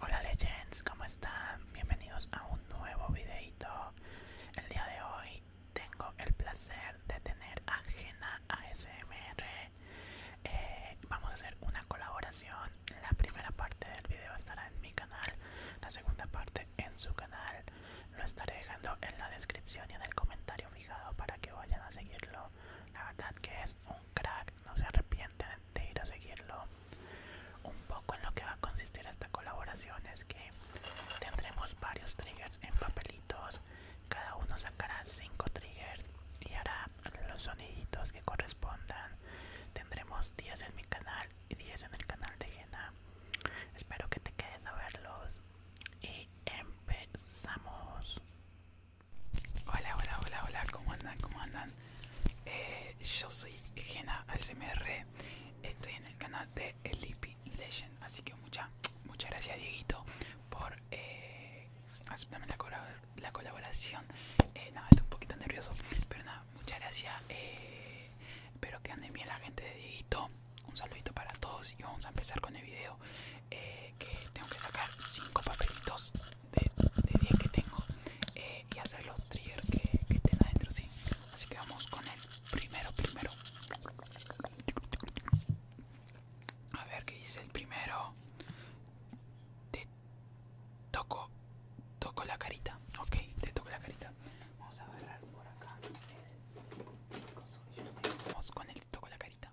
Hola legends, ¿cómo están? Bienvenidos a un nuevo videito. El día de hoy tengo el placer de tener a Jena ASMR. Eh, vamos a hacer una colaboración. La primera parte del video estará en mi canal, la segunda parte en su canal. Lo estaré dejando en la descripción y en el comentario fijado para que vayan a seguirlo. La verdad que es un crack, no se arrepienten de ir a seguirlo. Un poco en lo que va a consistir esta colaboración es que tendremos varios triggers en papelitos, cada uno sacará 5 triggers y hará los soniditos que correspondan. Tendremos 10 en mi canal y 10 en el canal de Jena. Espero que te quedes a verlos y empezamos. Hola, hola, hola, hola, ¿cómo andan? ¿Cómo andan? Eh, yo soy Gena cmr estoy en el canal de Sleepy Legend, así que muchas muchas gracias Dieguito por eh, la, colaboración. Eh, estoy un poquito nervioso, pero nada, muchas gracias. espero que ande bien la gente de Dieguito. Un saludito para todos y vamos a empezar con el video que tengo que sacar cinco papelitos de, 10 que tengo eh, y hacer los triggers que, que estén adentro, ¿sí? Así que vamos con el primero, primero. A ver qué dice el primero. Te toco, toco la carita. Ok, te toco la carita. Vamos a agarrar por acá. Vamos con el toco la carita.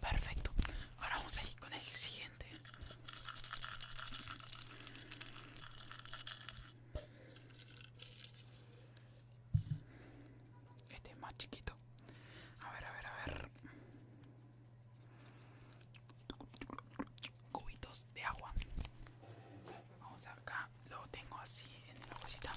Perfecto. Ahora vamos a ir con el siguiente. Este es más chiquito. A ver, a ver, a ver. Cubitos de agua. Vamos acá. Lo tengo así en la cosita.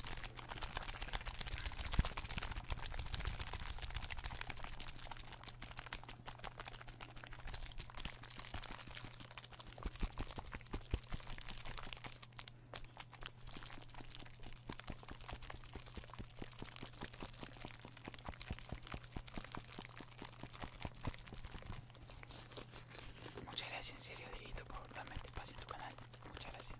Muchas gracias en serio, Dieguito, por darme este espacio en tu canal. Muchas gracias.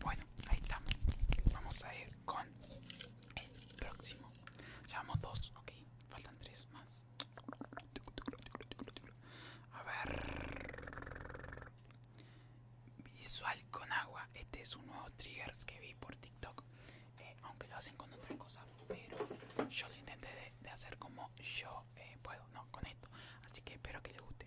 Bueno, ahí estamos. Vamos a ir con el próximo. Llevamos dos, ok. Faltan tres más. A ver. Visual con agua. Este es un nuevo trigger que vi por TikTok. Eh, aunque lo hacen con otra cosa. Pero yo lo intenté de, hacer como yo eh, puedo. No, con esto. Así que espero que le guste.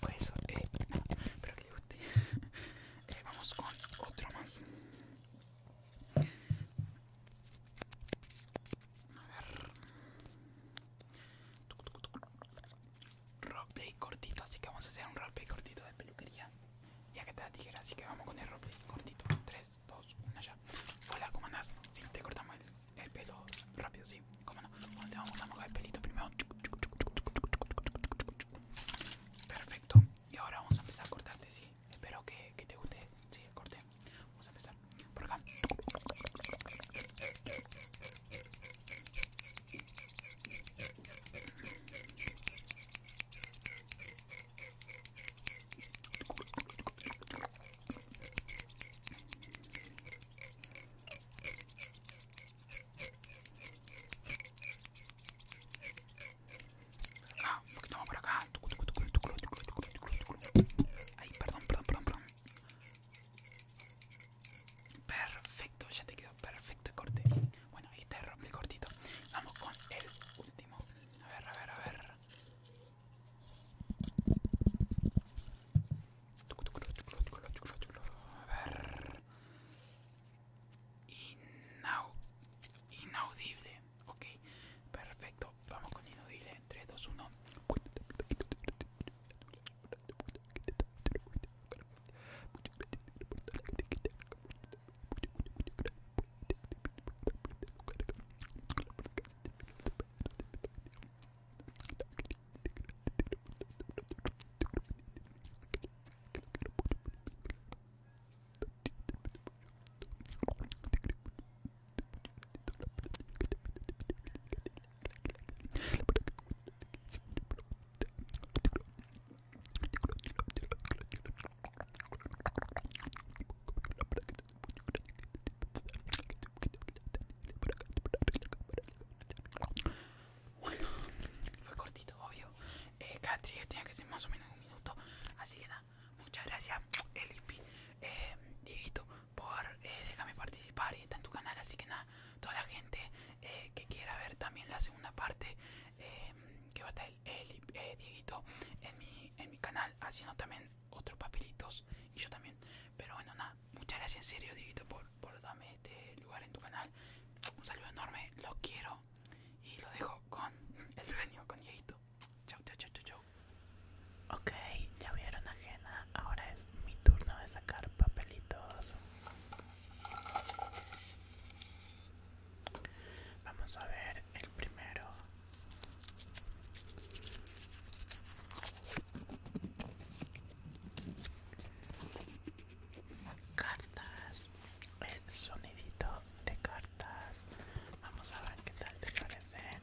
Pues eso, eh, pero que les guste. eh, vamos con otro más. A ver. Roleplay cortito, así que vamos a hacer un roleplay cortito de peluquería. Ya que te da tijera, así que vamos con el roleplay cortito. 3, 2, 1, ya. Hola, ¿cómo andás? Sí, te cortamos el, pelo rápido, sí. ¿Cómo andas?, te vamos a mojar el pelito primero. Perfecto. Y ahora vamos a empezar a cortarte, sí. Espero que, te guste. Sí, corté, vale, vamos a empezar por acá. Por acá, un por acá. Ay, perdón, perdón, perdón, Perfecto, ya te quedó perfecto el corte. Bueno, ahí te rompe el cortito. Vamos con el último. A ver, a ver, a ver. A ver. inaudible. Ok, perfecto. Vamos con inaudible. 3, 2, 1. Bueno, fue cortito, obvio. Eh, cada tenía que ser más o menos un minuto. Así que da. Muchas gracias, Elipi, eh, Dieguito, por eh, dejarme déjame participar y está en tu canal. Así que nada, toda la gente eh, que quiera ver también la segunda parte, que va a estar el, Dieguito en mi, en mi canal, haciendo también otros papelitos y yo también. Pero bueno, nada, muchas gracias en serio, Dieguito, por, darme este lugar en tu canal. Un saludo enorme, los quiero y lo dejo con el dueño, con Dieguito. Chau, chau, chau, chau. chau. Ok, ya vieron ajena. Ahora es mi turno de sacar papelitos. Vamos a ver el primero. Cartas. El sonidito de cartas. Vamos a ver qué tal te parecen.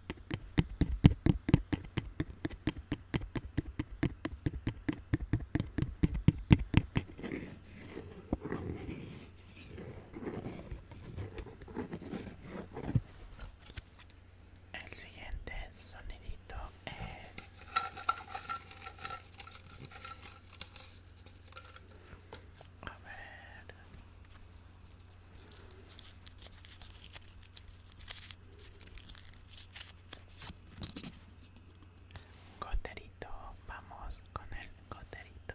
El siguiente sonidito es a ver Coterito, vamos con el coterito.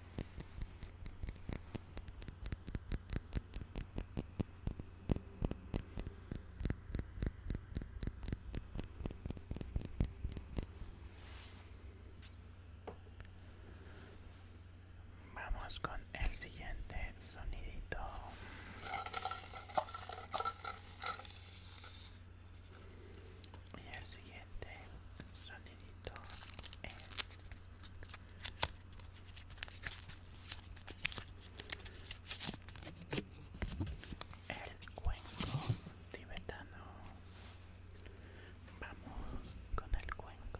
Vamos con el siguiente sonidito. Y el siguiente sonido el cuenco tibetano vamos con el cuenco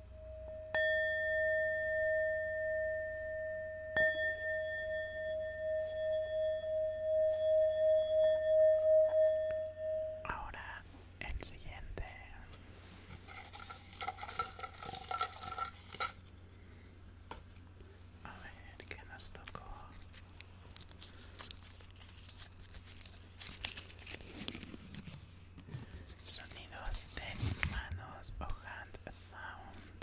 Ahora el siguiente. A ver qué nos tocó. Sonidos de manos o hand sounds.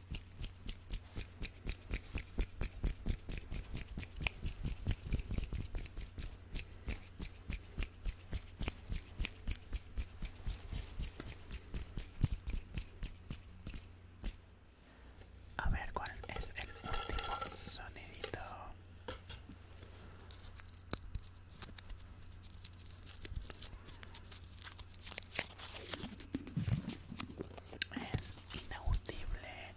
A ver cuál es el último sonidito. Es inaudible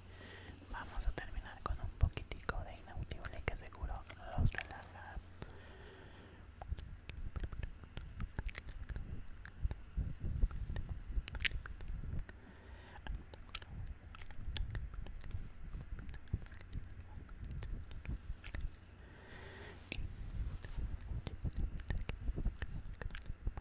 Vamos a terminar con un poquitico de inaudible que seguro los relaja.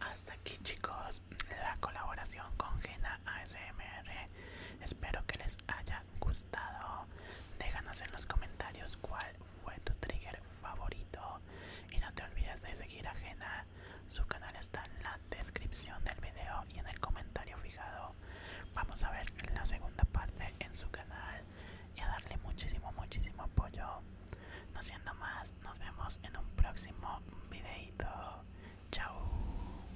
Hasta aquí chicos la colaboración con Gena ASMR. Espero que les haya gustado. Déjanos en los comentarios cuál fue tu trigger favorito y no te olvides de seguir a Su canal está en la descripción del video y en el comentario fijado. Vamos a ver la segunda parte en su canal y a darle muchísimo, muchísimo apoyo. No siendo más, nos vemos en un próximo videito. Chao.